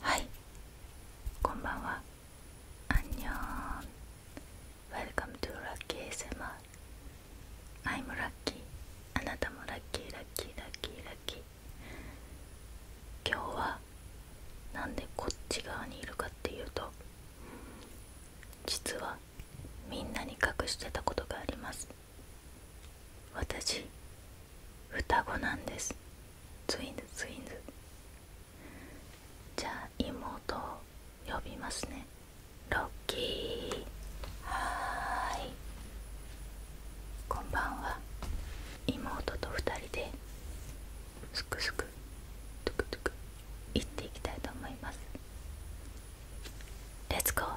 はいこんばんはアンニョン Welcome to Lucky ASMR I'm Lucky あなたもラッキーラッキーラッキーラッキー今日は何でこっち側にいるかっていうと実はみんなに隠してたことがあります私双子なんですツインズツインズじゃあ妹を呼びますねロッキーはいこんばんは妹と2人ですくすくトゥクトゥク行っていきたいと思いますレッツゴー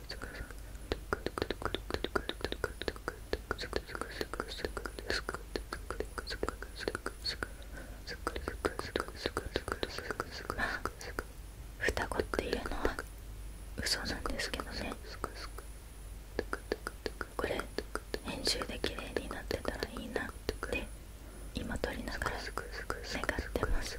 双子っていうのは嘘なんですけどねこれ編集で綺麗になってたらいいなって今撮りながら願ってます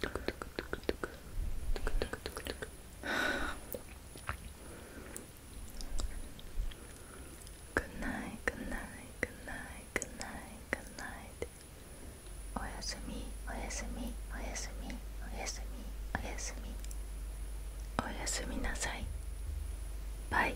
Good night, good night, good night, good night, good night. おやすみ、おやすみ、おやすみ、おやすみ、おやすみ。おやすみなさい。バイ。